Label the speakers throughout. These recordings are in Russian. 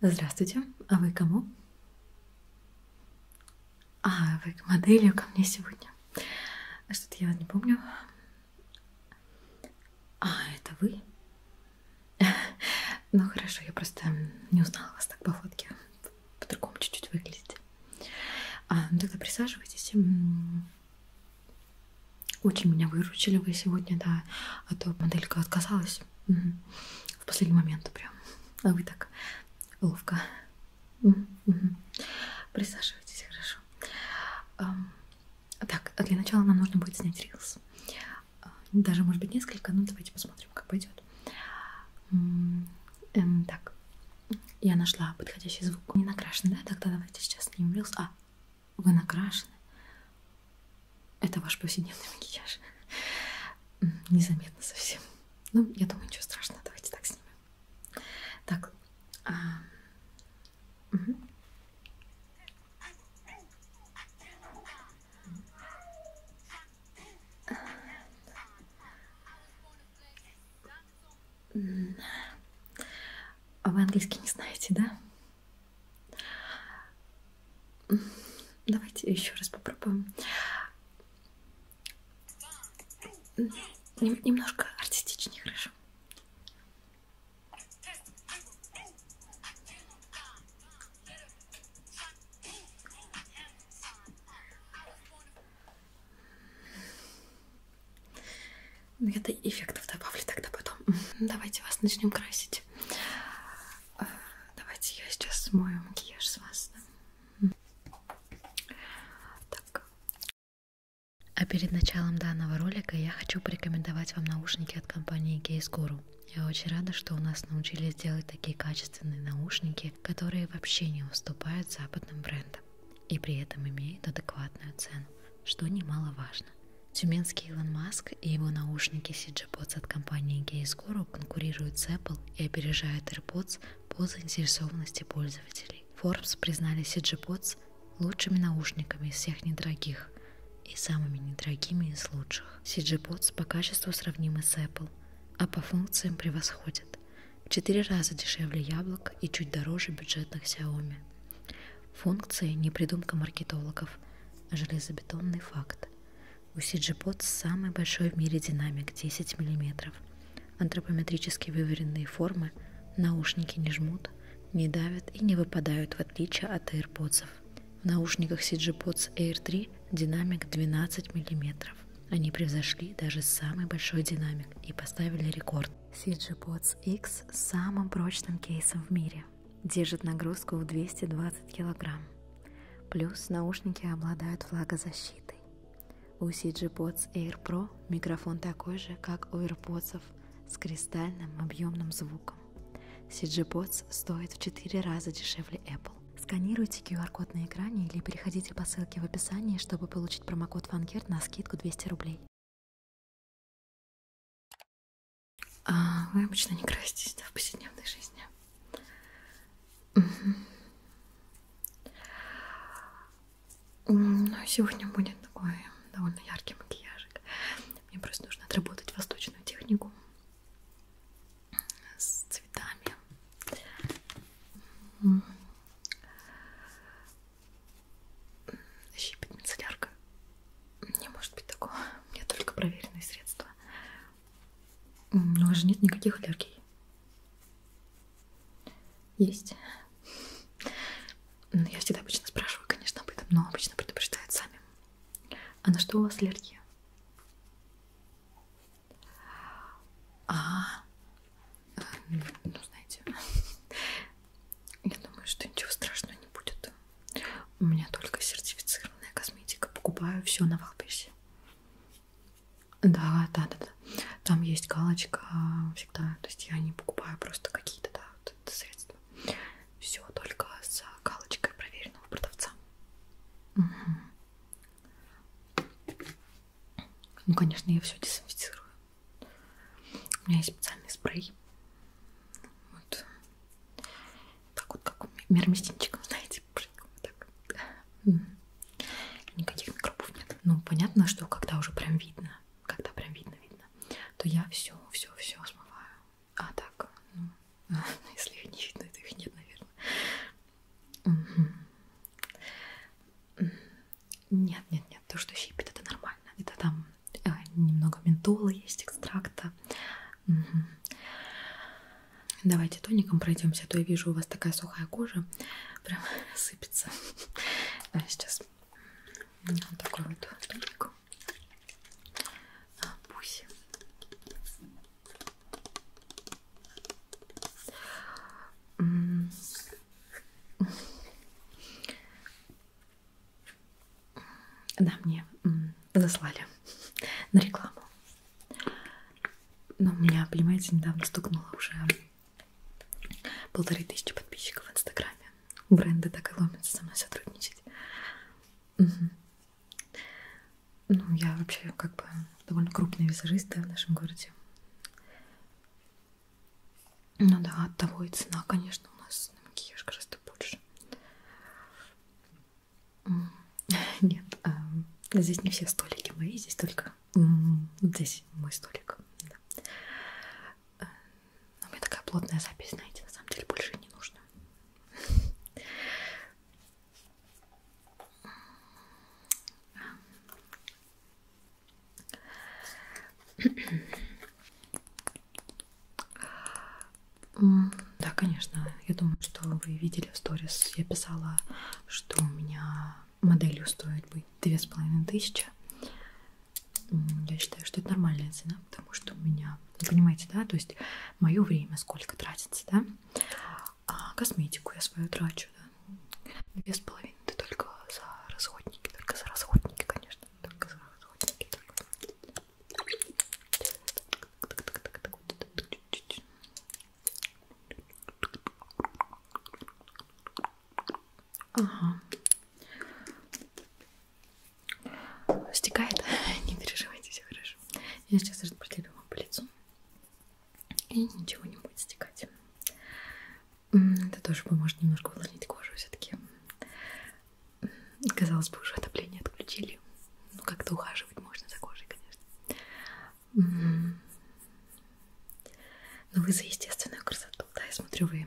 Speaker 1: Здравствуйте, а вы кому? А, вы к моделью ко мне сегодня. Что-то я не помню. А, это вы? Ну хорошо, я просто не узнала вас так по фотке. По-другому чуть-чуть выглядите. А, ну тогда присаживайтесь. Очень меня выручили вы сегодня, да. А то моделька отказалась. Угу. В последний момент прям. А вы так ловко. Присаживайтесь, хорошо. Так, а для начала нам нужно будет снять рилс. А, даже, может быть, несколько, но ну, давайте посмотрим, как пойдет. Эм, так, я нашла подходящий звук. Не накрашен, да? Тогда давайте сейчас снимем рилс. А, вы накрашены. Это ваш повседневный макияж. Незаметно совсем. Ну, я думаю, ничего страшного. Давайте так снимем. Так. А... Угу. А вы английский не знаете, да? Давайте еще раз попробуем. Нем немножко артистичнее, хорошо? Ну, я-то эффектов добавлю тогда потом. Давайте вас начнем красить. Давайте
Speaker 2: я сейчас смою
Speaker 1: макияж с вас.
Speaker 2: Так. А перед началом данного ролика я хочу порекомендовать вам наушники от компании Case Guru. Я очень рада, что у нас научились делать такие качественные наушники, которые вообще не уступают западным брендам и при этом имеют адекватную цену, что немаловажно. Тюменский Илон Маск и его наушники CG Bots от компании Gaze скоро конкурирует с Apple и опережает AirPods по заинтересованности пользователей. Forbes признали CG-Pods лучшими наушниками из всех недорогих и самыми недорогими из лучших. CG-Pods по качеству сравнимы с Apple, а по функциям превосходят. В 4 раза дешевле яблок и чуть дороже бюджетных Xiaomi. Функции – не придумка маркетологов, а железобетонный факт. У CGPOT самый большой в мире динамик 10 мм. Антропометрически выверенные формы, наушники не жмут, не давят и не выпадают в отличие от AirPods. В наушниках CGPods Air 3 динамик 12 мм. Они превзошли даже самый большой динамик и поставили рекорд. CGPods X с самым прочным кейсом в мире держит нагрузку в 220 кг. Плюс наушники обладают влагозащитой. У CG-Pods Air Pro микрофон такой же, как у AirPods с кристальным объемным звуком. CG-Pods стоит в 4 раза дешевле Apple. Сканируйте QR-код на экране или переходите по ссылке в описании, чтобы получить промокод Вангерт на скидку 200 рублей. А вы обычно не краситесь да, в повседневной жизни?
Speaker 1: Ну, сегодня будет такой довольно яркий макияжик. Мне просто нужно отработать восточную технику с цветами. Щипет мицеллярка. Не может быть такого. У меня только проверенные средства. У вас же нет никаких аллергий. Есть. Ну, я всегда обычно спрашиваю, конечно, об этом, но обычно предупреждают сами. А на что у вас аллергия? А, э, ну знаете, я думаю, что ничего страшного не будет. У меня только сертифицированная косметика. Покупаю все на Валберсе. Да, да, да, да. Там есть галочка а, всегда. То есть я не покупаю просто какие-то да, вот средства. Все только с галочкой проверенного продавца. Угу. Ну, конечно, я все дезинфицирую. У меня есть специальный спрей. Вот. Так вот, как мирмистинчиком, знаете, так. Никаких микробов нет. Ну, понятно, что когда уже прям видно, когда прям видно, видно, то я все, все, все смываю. А так, ну, если их не видно, то их нет, наверное. Угу. Нет, нет, нет, то, что щипит, это нормально. Это там э, немного ментола есть, экстракта, Угу. Давайте тоником пройдемся, а то я вижу, у вас такая сухая кожа, прям сыпется. А сейчас вот такой вот тоник. А, пусть. Да, мне заслали на рекламу. Но ну, у меня, понимаете, недавно стукнуло уже полторы тысячи подписчиков в Инстаграме. Бренды так и ломятся со мной сотрудничать. Угу. Ну, я вообще как бы довольно крупный визажист, да, в нашем городе. Ну да, от того и цена, конечно, у нас на макияж гораздо больше. Нет, здесь не все столики мои, здесь только... Здесь мой столик. Да. Э, у меня такая плотная запись, знаете, на самом деле больше не нужно. Да, конечно. Я думаю, что вы видели в сторис. Я писала, что у меня моделью стоит быть две с половиной тысячи. Я считаю, что это нормальная цена, потому что у меня, вы понимаете, да, то есть мое время сколько тратится, да, а косметику я свою трачу, да, две с половиной, это только за расходники, только за расходники, конечно, только за расходники, только... Ага. Стекает. не переживайте, все хорошо. Я сейчас распределю вам по лицу. И ничего не будет стекать. Это тоже поможет немножко увлажнить кожу все-таки. Казалось бы, уже отопление отключили. Ну, как-то ухаживать можно за кожей, конечно. Но ну, вы за естественную красоту, да, я смотрю, вы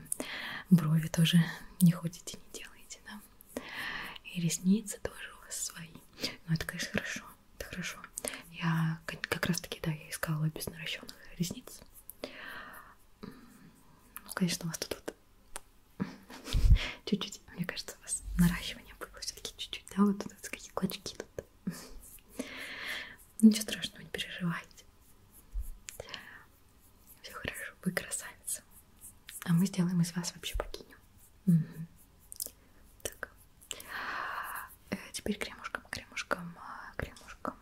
Speaker 1: брови тоже не ходите, не делаете, да. И ресницы тоже у вас свои. Но ну, это, конечно, хорошо, это хорошо. Я как раз таки, да, я искала без наращенных ресниц. Ну, конечно, у вас тут вот чуть-чуть чуть-чуть. Мне кажется, у вас наращивание было все-таки чуть-чуть, да? Вот тут какие клочки тут. Ничего страшного, не переживайте. Все хорошо, вы красавица. А мы сделаем из вас вообще богиню. Угу. Так. Э, теперь кремушком, кремушком, а, кремушком.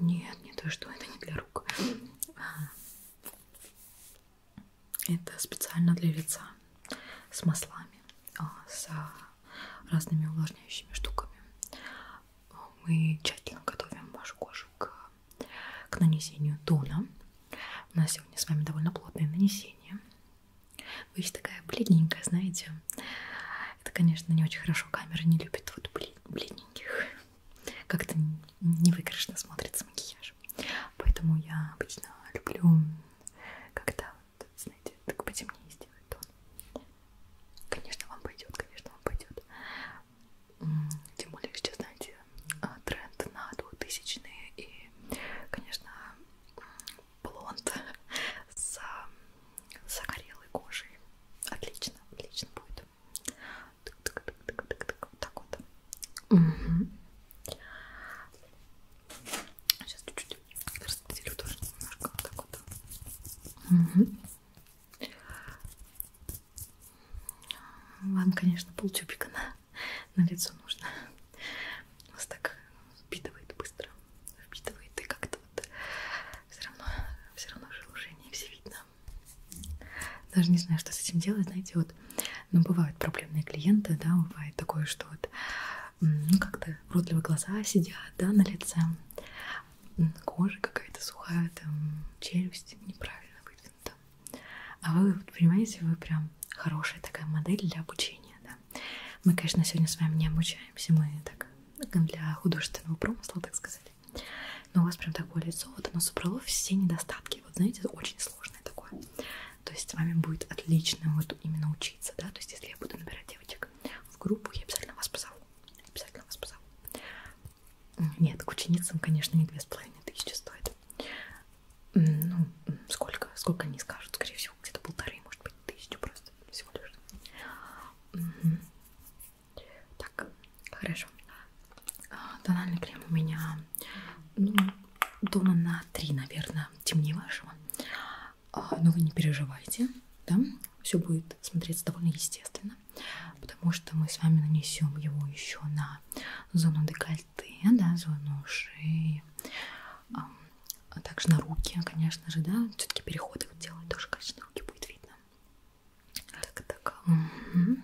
Speaker 1: Нет, не то, что это не для рук. Это специально для лица. С маслами, а, с разными увлажняющими штуками. Мы тщательно готовим вашу кожу к, к нанесению тона. У нас сегодня с вами довольно плотное нанесение. Вы еще такая бледненькая, знаете. Это, конечно, не очень хорошо. Камера не любит вот бледненьких как-то невыигрышно смотрится макияж. Поэтому я обычно люблю, когда, вот, знаете, так потемнее сделать тон. Конечно, вам пойдет, конечно, вам пойдет. Тем более, сейчас, знаете, а, тренд на 2000-е и, конечно, блонд с загорелой кожей. Отлично, отлично будет. Вот так вот. Угу. Сейчас чуть-чуть распределю тоже немножко. Вот так вот. Угу. Вам, конечно, полчупика на, на лицо нужно. Вас так впитывает быстро. Впитывает и как-то вот все равно, все равно в все видно. Даже не знаю, что с этим делать, знаете, вот, ну, бывают проблемные клиенты, да, бывает такое, что вот, ну, как-то уродливые глаза сидят, да, на лице, кожа какая-то сухая, там, челюсть неправильно выдвинута. А вы, вот, понимаете, вы прям хорошая такая модель для обучения, да. Мы, конечно, сегодня с вами не обучаемся, мы так для художественного промысла, так сказать но у вас прям такое лицо, вот оно собрало все недостатки, вот знаете, очень сложное такое, то есть с вами будет отлично вот именно учиться, да, то есть если я буду набирать девочек в группу, я обязательно вас позову, обязательно вас позову. Нет, к ученицам, конечно, не две с половиной тысячи стоит. Ну, сколько? Сколько они скажут? Скорее всего, где-то полторы, может быть, тысячу просто всего лишь. Угу. Так, хорошо. А, тональный крем у меня ну, дома на 3, наверное, темнее вашего. А, но вы не переживайте, да? Все будет смотреться довольно естественно, потому что мы с вами нанесем его еще на зону декольте, да, зону шеи, а также на руки, конечно же, да. Все-таки переходы вот делать тоже, конечно, руки будет видно. Так, так. Угу.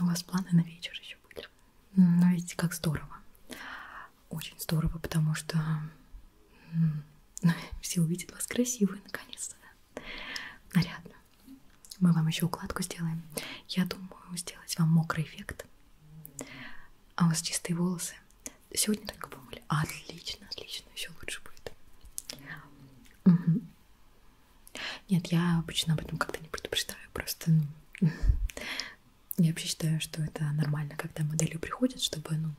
Speaker 1: У вас планы на вечер еще были? Ну, видите, как здорово. Очень здорово, потому что ну, все увидят вас красивые, наконец-то. Нарядно. Мы вам еще укладку сделаем. Я думаю сделать вам мокрый эффект. А у вас чистые волосы. Сегодня только помыли. Отлично, отлично, еще лучше будет. Угу. Нет, я обычно об этом как-то не предупреждаю, просто ну, я вообще считаю, что это нормально, когда модели приходят, чтобы ну,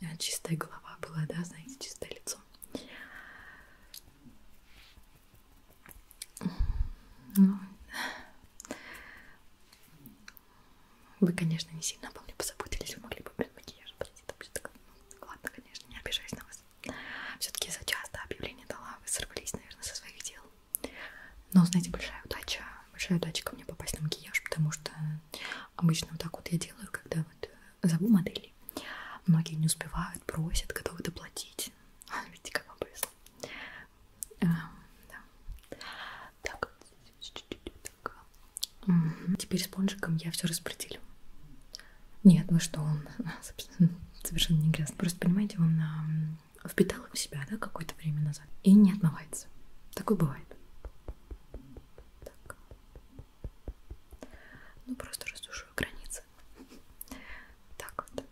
Speaker 1: э, чистая голова была, да, знаете, чистое лицо. Ну, вы, конечно, не сильно обо мне позаботились, вы могли бы без макияжа прийти, там все такое, ну, Ладно, конечно, не обижаюсь на вас. Все-таки за часто объявление дала, вы сорвались, наверное, со своих дел. Но, знаете, большая удача, большая удача ко мне попасть на макияж, потому что обычно вот так вот я делаю, когда вот зову модели. Многие не успевают, просят, готовы доплатить. Видите, как вам повезло. А, да. Так, так, Угу. Теперь спонжиком я все распределю. Нет, ну что, он совершенно не грязный. Просто, понимаете, он а, впитал в себя, да, какое-то время назад и не отмывается. Такое бывает. Так. Ну, просто раздушую границы. Так вот.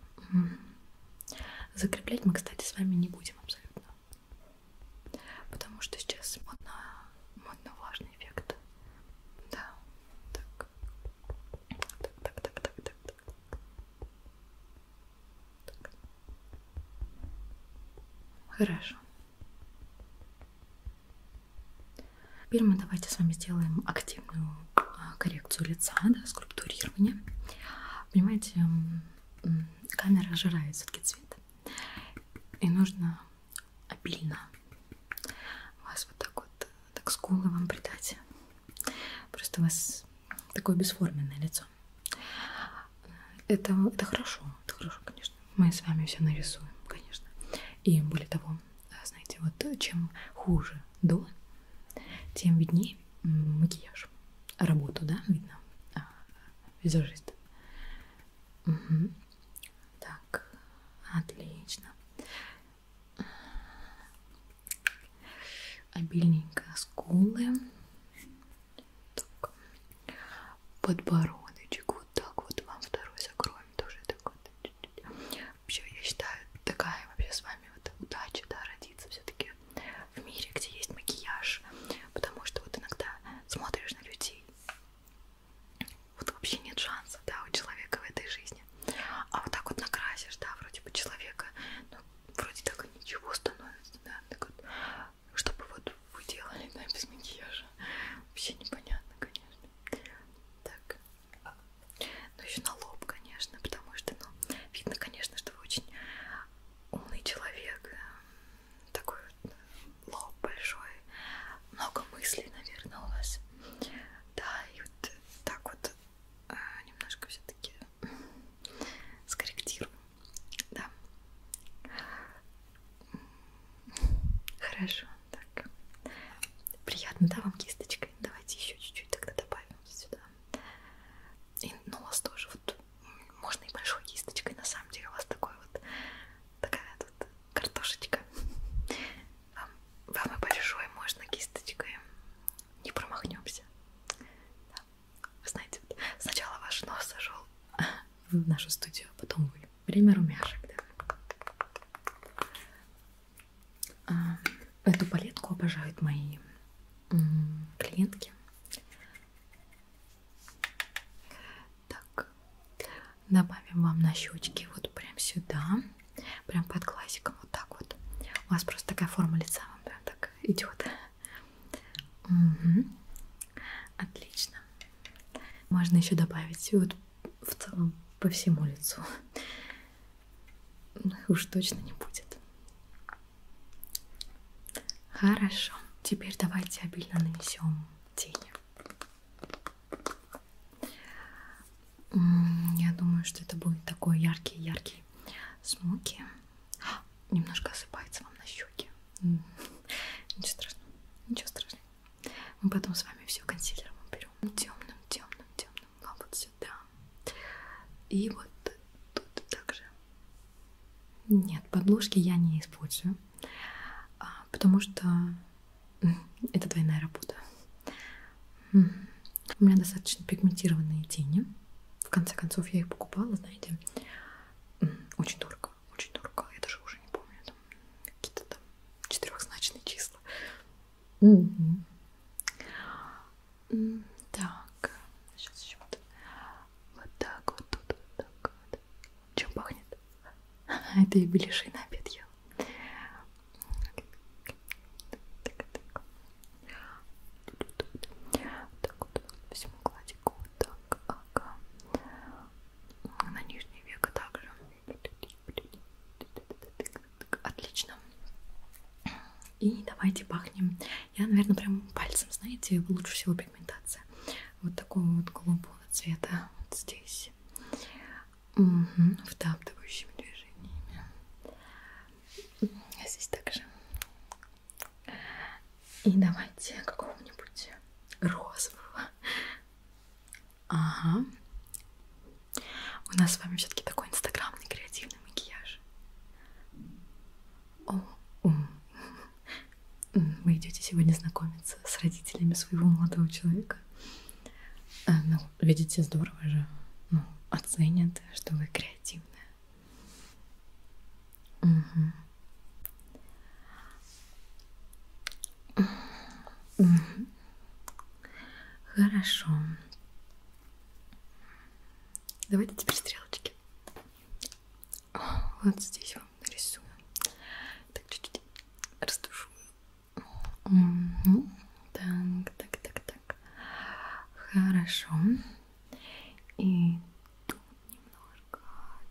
Speaker 1: Закреплять мы, кстати, с вами не будем абсолютно. Потому что сейчас модно, модно, важно нужен эффект. Да, так. Так, так, так, так, так, так.
Speaker 2: так. Хорошо.
Speaker 1: Теперь мы давайте с вами сделаем активную а, коррекцию лица, да, скульптурирование. Понимаете, камера жирает все-таки цвет, и нужно обильно а, а. вас вот так вот, так скулы вам придать. Просто у вас такое бесформенное лицо. Это, это хорошо, это хорошо, конечно. Мы с вами все нарисуем, конечно. И более того, знаете, вот чем хуже до, тем виднее макияж. Работу, да, видно? А, визажист. Угу. Так, отлично. Обильненько скулы. Так. Подбородочек. Вот так вот вам второй закроем. Тоже такой. Вообще, я считаю, такая вообще с вами вот удача, да, родиться все-таки в мире, где есть макияж. Потому что вот иногда смотришь на людей вот вообще нет шансов, да, у человека в этой жизни. А вот так вот накрасишь, да, вроде бы человека, ну, вроде так и ничего становится, да, так вот, чтобы вот вы делали, да, без макияжа, вообще непонятно, конечно. Так, а, ну еще на лоб, конечно, потому что, ну, видно, конечно, что вы очень умный человек, э, такой вот лоб большой, много мыслей, наверное, у вас. Да, и вот так вот э, немножко все-таки скорректируем. Да. Хорошо, так. Приятно, да, вам кисточкой? Давайте еще чуть-чуть тогда добавим сюда. И нос ну, тоже. Вот можно и большой кисточкой, на самом деле у вас такой вот такая тут картошечка. Вам, вам и большой, можно кисточкой. Не промахнемся. Да. Вы знаете, вот сначала ваш нос зашел в нашу студию, а потом вы. Время румяшек, да. А, эту палетку обожают мои клиентки. Так, добавим вам на щечки вот прям сюда, прям под глазиком, вот так вот. У вас просто такая форма лица вам прям так идет. Угу. Отлично. Можно еще добавить вот в целом по всему лицу. Уж точно не будет. Хорошо. Теперь давайте обильно нанесем тени. Я думаю, что это будет такой яркий-яркий смоки. А, немножко осыпается вам на щеки. Ничего страшного, ничего страшного. Мы потом с вами все консилером уберем. Темным, темным, темным. А вот сюда. И вот тут также. Нет, подложки я не использую. А, потому что это двойная работа. У меня достаточно пигментированные тени. В конце концов, я их покупала, знаете, очень дорого, очень дорого. Я даже уже не помню, там какие-то там четырехзначные числа. Так, сейчас еще вот, вот так вот тут, вот так вот. Чем пахнет? Это и беляши на обед ел. Так вот по всему кладику. Так, ага. На нижнее веко также. Отлично. И давайте пахнем. Я, наверное, прям пальцем, знаете, лучше всего пигментация. Вот такого вот голубого цвета вот здесь. Угу, втаптывающими движениями. А здесь также. И давайте какого-нибудь розового. Ага. У нас с вами все-таки такой инстаграмный креативный макияж. О, ум. Вы идете сегодня знакомиться с родителями своего молодого человека. А, ну, видите, здорово же. Ну, оценят, что вы креативная. Угу. Угу. Хорошо. Давайте теперь стрелочки. Вот здесь вам нарисую. Так чуть-чуть растушую. Угу. Так, так, так, так. Хорошо. И тут немножко,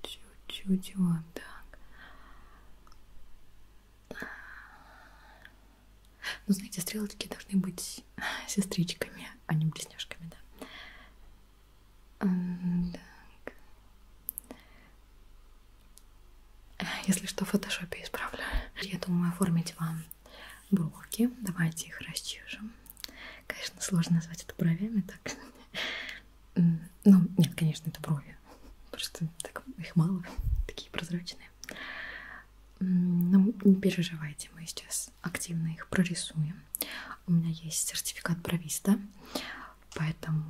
Speaker 1: чуть-чуть вот так. Ну, знаете, стрелочки должны быть сестричками, а не близняшками, да? Так. Если что, в фотошопе исправлю. Я думаю оформить вам броки. Давайте их расчешем. Конечно, сложно назвать это бровями, так. Ну, нет, конечно, это брови. Просто так, их мало, такие прозрачные. Но ну, не переживайте, мы сейчас активно их прорисуем. У меня есть сертификат бровиста, поэтому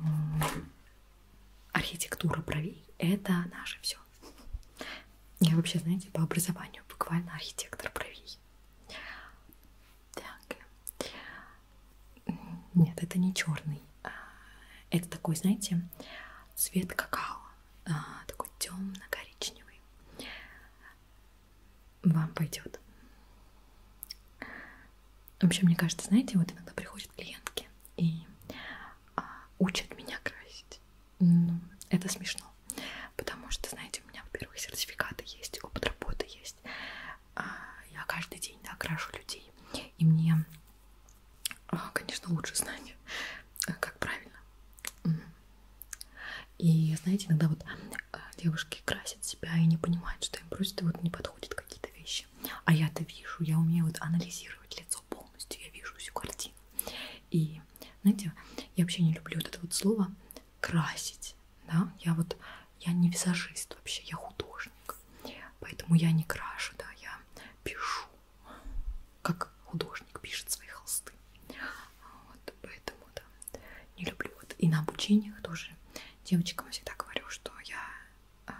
Speaker 1: архитектура бровей — это наше все. Я вообще, знаете, по образованию буквально архитектор бровей. Так. Нет, это не черный. А, это такой, знаете, цвет какао. А, такой темно-коричневый. Вам пойдет. Вообще, мне кажется, знаете, вот иногда приходят клиентки, и а, учат меня красить. Ну, это смешно. Потому что, знаете, у меня, во-первых, сертификаты есть, опыт работы есть. А, я каждый день да, крашу людей. И мне, а, конечно, лучше знать, э, как правильно. И, знаете, иногда вот девушки красят себя и не понимают, что им просто вот не подходят какие-то вещи вещи. А я-то вижу, я умею вот анализировать лицо полностью, я вижу всю картину. И, знаете, я вообще не люблю вот это вот слово красить, да, я вот, я не визажист вообще, я художник, поэтому я не крашу, да, я пишу, как художник пишет свои холсты, вот, поэтому, да, не люблю, вот, и на обучениях тоже девочкам всегда говорю, что я а,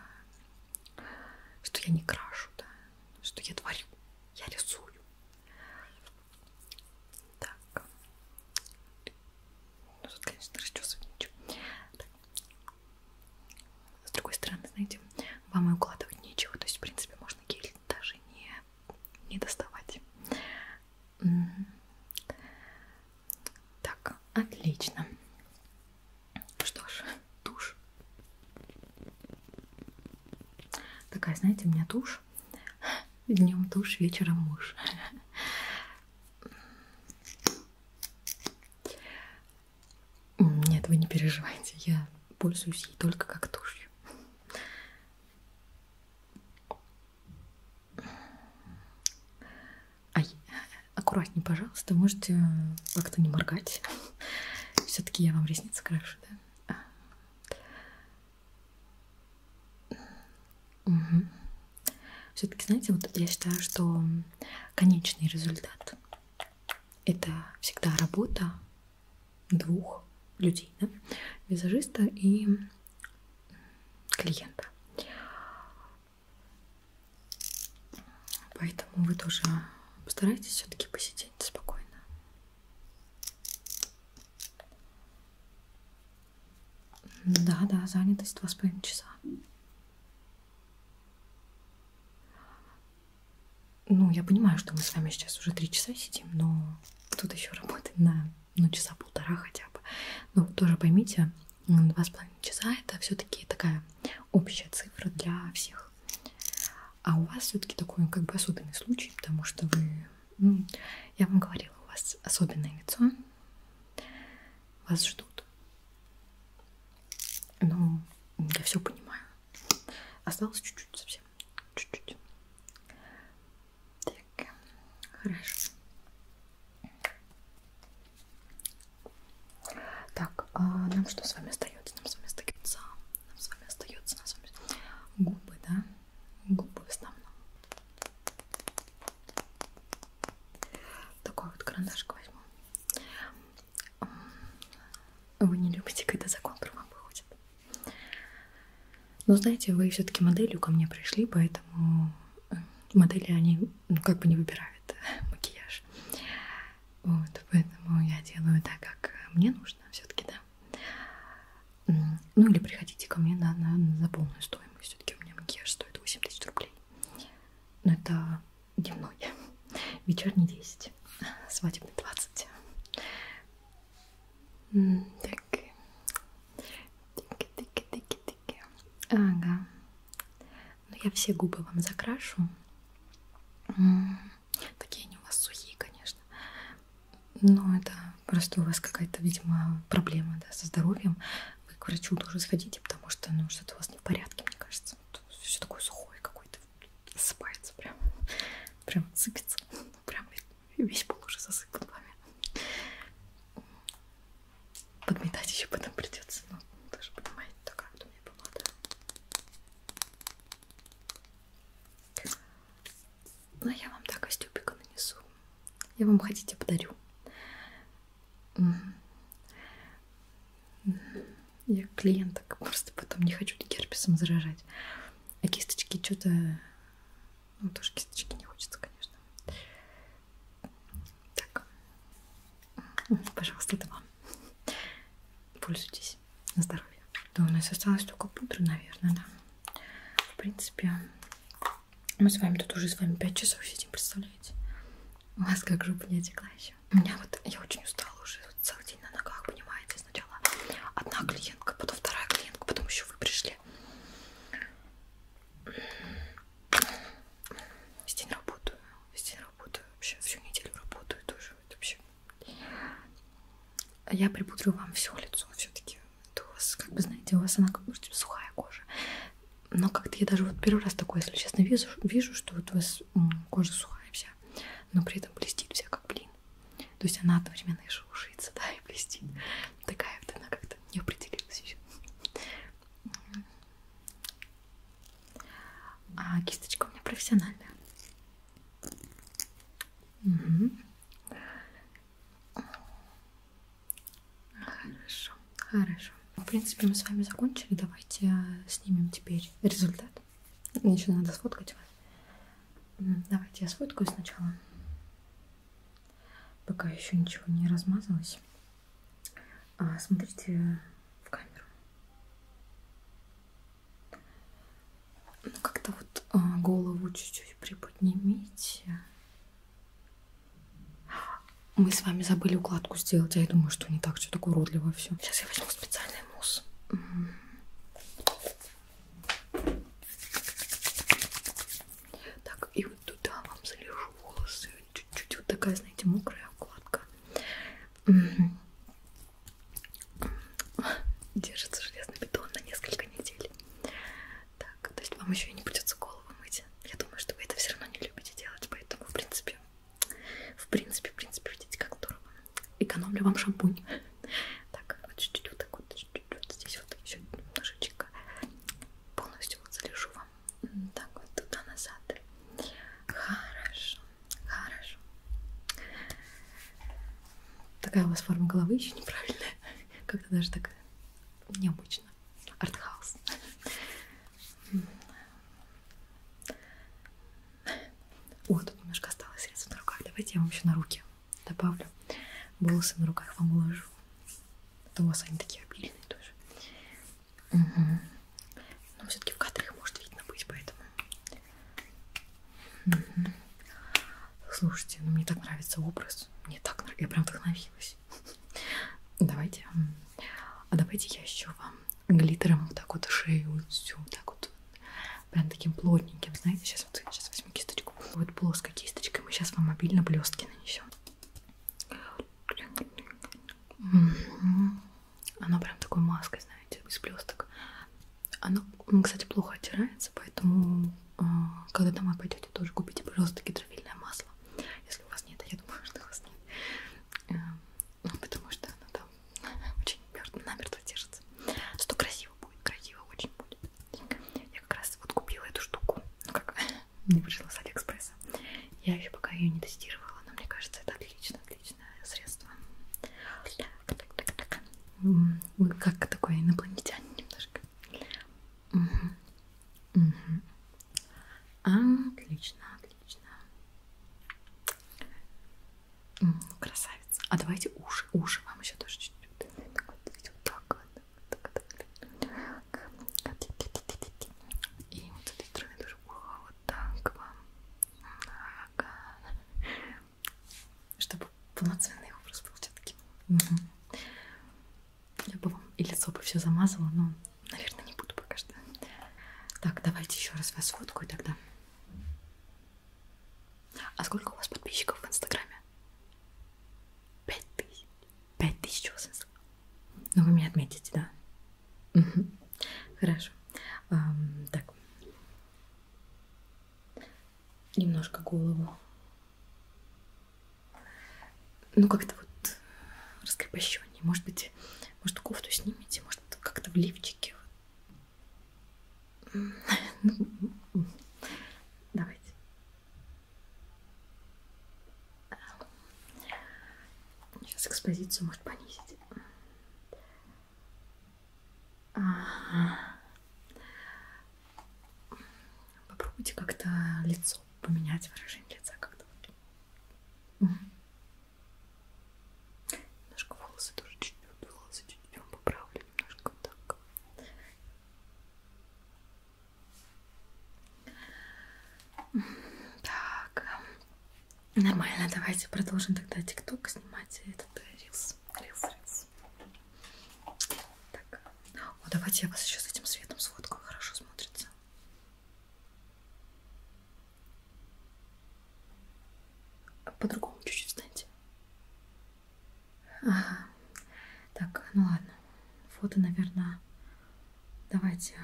Speaker 1: что я не крашу, да, что я творю, я рисую. Так. Ну, тут, конечно, расчесывать нечего. Так. С другой стороны, знаете, вам и укладывать нечего, то есть, в принципе, можно гель даже не, не доставать. Так, отлично. Что ж, тушь. Такая, знаете, у меня тушь. Днем тушь, вечером муж. Нет, вы не переживайте, я пользуюсь ей только как тушью. Ай, Аккуратнее, пожалуйста, можете э, как-то не моргать. Все-таки я вам ресницы крашу, да? Угу. А. Все-таки, знаете, вот я считаю, что конечный результат это всегда работа двух людей, да? визажиста и клиента. Поэтому вы тоже постарайтесь все-таки посидеть спокойно. Да, да, занятость два с половиной часа. Ну, я понимаю, что мы с вами сейчас уже три часа сидим, но тут еще работать на ну, часа полтора хотя бы. Но тоже поймите, два с половиной часа это все-таки такая общая цифра для всех других. А у вас все-таки такой как бы особенный случай, потому что вы, ну, я вам говорила, у вас особенное лицо, вас ждут. Ну, я все понимаю. Осталось чуть-чуть совсем, чуть-чуть. Так, хорошо. Так, а нам что с вами остается? Нам с вами остается, нам с вами остается, нам с вами губы, да? Губы в основном. Такой вот карандашик возьму. Вы не любите, когда за контур вам выходит. Но знаете, вы все-таки моделью ко мне пришли, поэтому модели, они ну, как бы не выбирают э, макияж. Вот, поэтому я делаю так, как мне нужно все-таки, да. Ну или приходите ко мне на, на, на за полную стоимость. Все-таки у меня макияж стоит 8 тысяч рублей. Но это дневной. Вечерний 10. Свадебный 20. Так. Тыки-тыки-тыки-тыки. Ага. Но я все губы вам закрашу. Такие они у вас сухие, конечно. Но это просто у вас какая-то, видимо, проблема да, со здоровьем. Вы к врачу тоже сходите, потому что ну, что-то у вас не в порядке, мне кажется. Тут все такое сухое какое-то. Засыпается прям. Прям сыпется. Прям весь пол уже засыпан вами. Подметать еще потом придется. Ну, даже понимаете, такая у меня была, да. Но я вам так костюбика нанесу. Я вам хотите подарю. Я клиенток просто потом не хочу герпесом заражать. А кисточки что-то... Ну, тоже кисточки не хочется, конечно. Так. Пожалуйста, это вам. Пользуйтесь. На здоровье. Да, у нас осталось только пудра, наверное, да. В принципе, мы с вами тут уже с вами 5 часов сидим, представляете? У вас как жопа не отекла еще. У меня вот, я очень устала уже вот целый день на ногах, понимаете? Сначала одна клиентка, потом вторая клиентка, потом еще вы пришли. Весь день работаю, весь день работаю, вообще всю неделю работаю тоже спрашивают вообще. А я припудрю вам все лицо все-таки. У вас, как бы знаете, у вас она как бы типа, сухая кожа. Но как-то я даже вот первый раз такое, если честно, вижу, вижу, что вот у вас кожа сухая вся, но при этом блестит вся как блин. То есть она одновременно и шелушится, да, и блестит. Такая вот она как-то не определилась еще. А кисточка у меня профессиональная. Угу. Хорошо, хорошо. В принципе, мы с вами закончили. Давайте а, снимем теперь результат. Мне еще надо сфоткать вас. Давайте я сфоткаю сначала. Пока еще ничего не размазалось. А, смотрите в камеру. Ну, как-то вот а, голову чуть-чуть приподнимите. Мы с вами забыли укладку сделать, а я думаю, что не так, что так уродливо все. Сейчас я возьму специальный мусс. Так, и вот туда вам залежу волосы. Чуть-чуть вот такая, знаете, мокрая укладка. Держится железный бетон на несколько недель. Так, то есть вам еще и не придется голову мыть. Я думаю, что вы это все равно не любите делать, поэтому, в принципе, в принципе, в принципе, видите, как здорово. Экономлю вам шампунь. Так, вот чуть-чуть вот так вот, чуть-чуть вот здесь вот еще немножечко. Полностью вот залежу вам. Так, вот туда-назад. Хорошо. Хорошо. Такая у вас форма головы еще неправильная. Как-то даже так необычно. Артхаус. О, тут немножко осталось средств на руках. Давайте я вам еще на руки добавлю. Волосы на руках вам уложу. Это у вас они такие обильные тоже. Угу. Но все-таки в кадре их может видно быть, поэтому. Угу. Слушайте, ну мне так нравится образ. Мне так нравится. Я прям вдохновилась. Давайте. А давайте я еще вам глиттером вот так вот шею вот всю вот так вот прям таким плотненьким, знаете, сейчас вот сейчас возьму кисточку, вот плоской кисточкой мы сейчас вам обильно блестки нанесем. Оно прям такой маской, знаете, из блесток. Оно, кстати, плохо оттирается, поэтому э, когда домой пойдете, тоже купите, пожалуйста, гидрофильное масло. Если у вас нет, а я думаю, что у вас нет. Э, ну, потому что оно там очень намертво держится. Что красиво будет, красиво очень будет. Я как раз вот купила эту штуку. Ну как, мне пришла с Алиэкспресса. Я еще пока ее не тестировала, но мне кажется, это отлично отличное средство. Так, так, так, так. Вы как такой инопланетянин немножко. Угу. Угу.
Speaker 2: Отлично, отлично.
Speaker 1: Красавица. А давайте уши. Уши вам еще тоже чуть-чуть. Так вот, так вот, так вот, так вот. И вот этой стороны тоже ухо вот так вам. Ага чтобы полноценный образ был все-таки. Угу. Я бы вам и лицо бы все замазала, но, наверное, не буду пока что. Так, давайте еще раз вас фоткаю тогда. А сколько у вас подписчиков в Инстаграме? Пять тысяч. Пять тысяч у вас. Ну вы меня отметите, да? Хорошо. Так. Немножко голову. Ну, как-то вот раскрепощеннее. Может быть, может, кофту снимите, может, как-то в лифчике. Давайте. Сейчас экспозицию может понизить. Попробуйте как-то лицо поменять, выражение лица как-то. Угу. Немножко волосы тоже чуть-чуть, волосы чуть-чуть вам поправлю, немножко вот так. Так, Нормально, давайте продолжим тогда ТикТок снимать этот э, рилс. рилс, рилс. Так. О, давайте я вас еще с этим светом сфоткаю, хорошо смотрится. По-другому чуть-чуть встаньте. Ага. Так, ну ладно. Фото, наверное, давайте.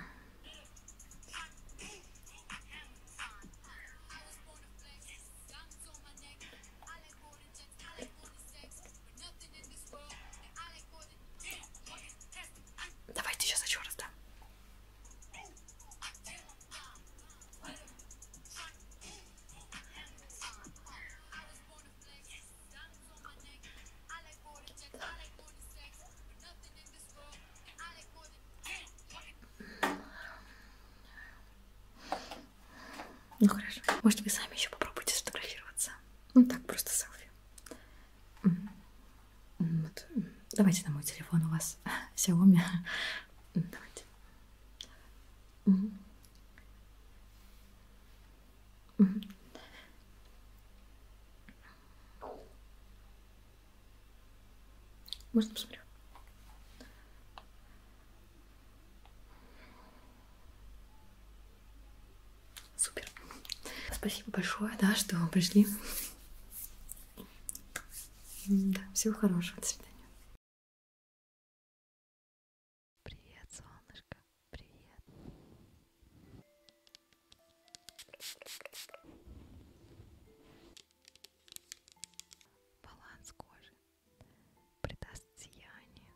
Speaker 1: Давайте сейчас еще раз, да? Ну хорошо. Может, вы сами еще попробуйте сфотографироваться. Ну так, просто селфи. Вот. Давайте на мой телефон у вас Xiaomi. Давайте. Угу. Угу. Можно посмотрю? Супер. Спасибо большое, да, что пришли. Да, всего хорошего. До свидания. Привет, солнышко. Привет. Баланс кожи придаст сияние.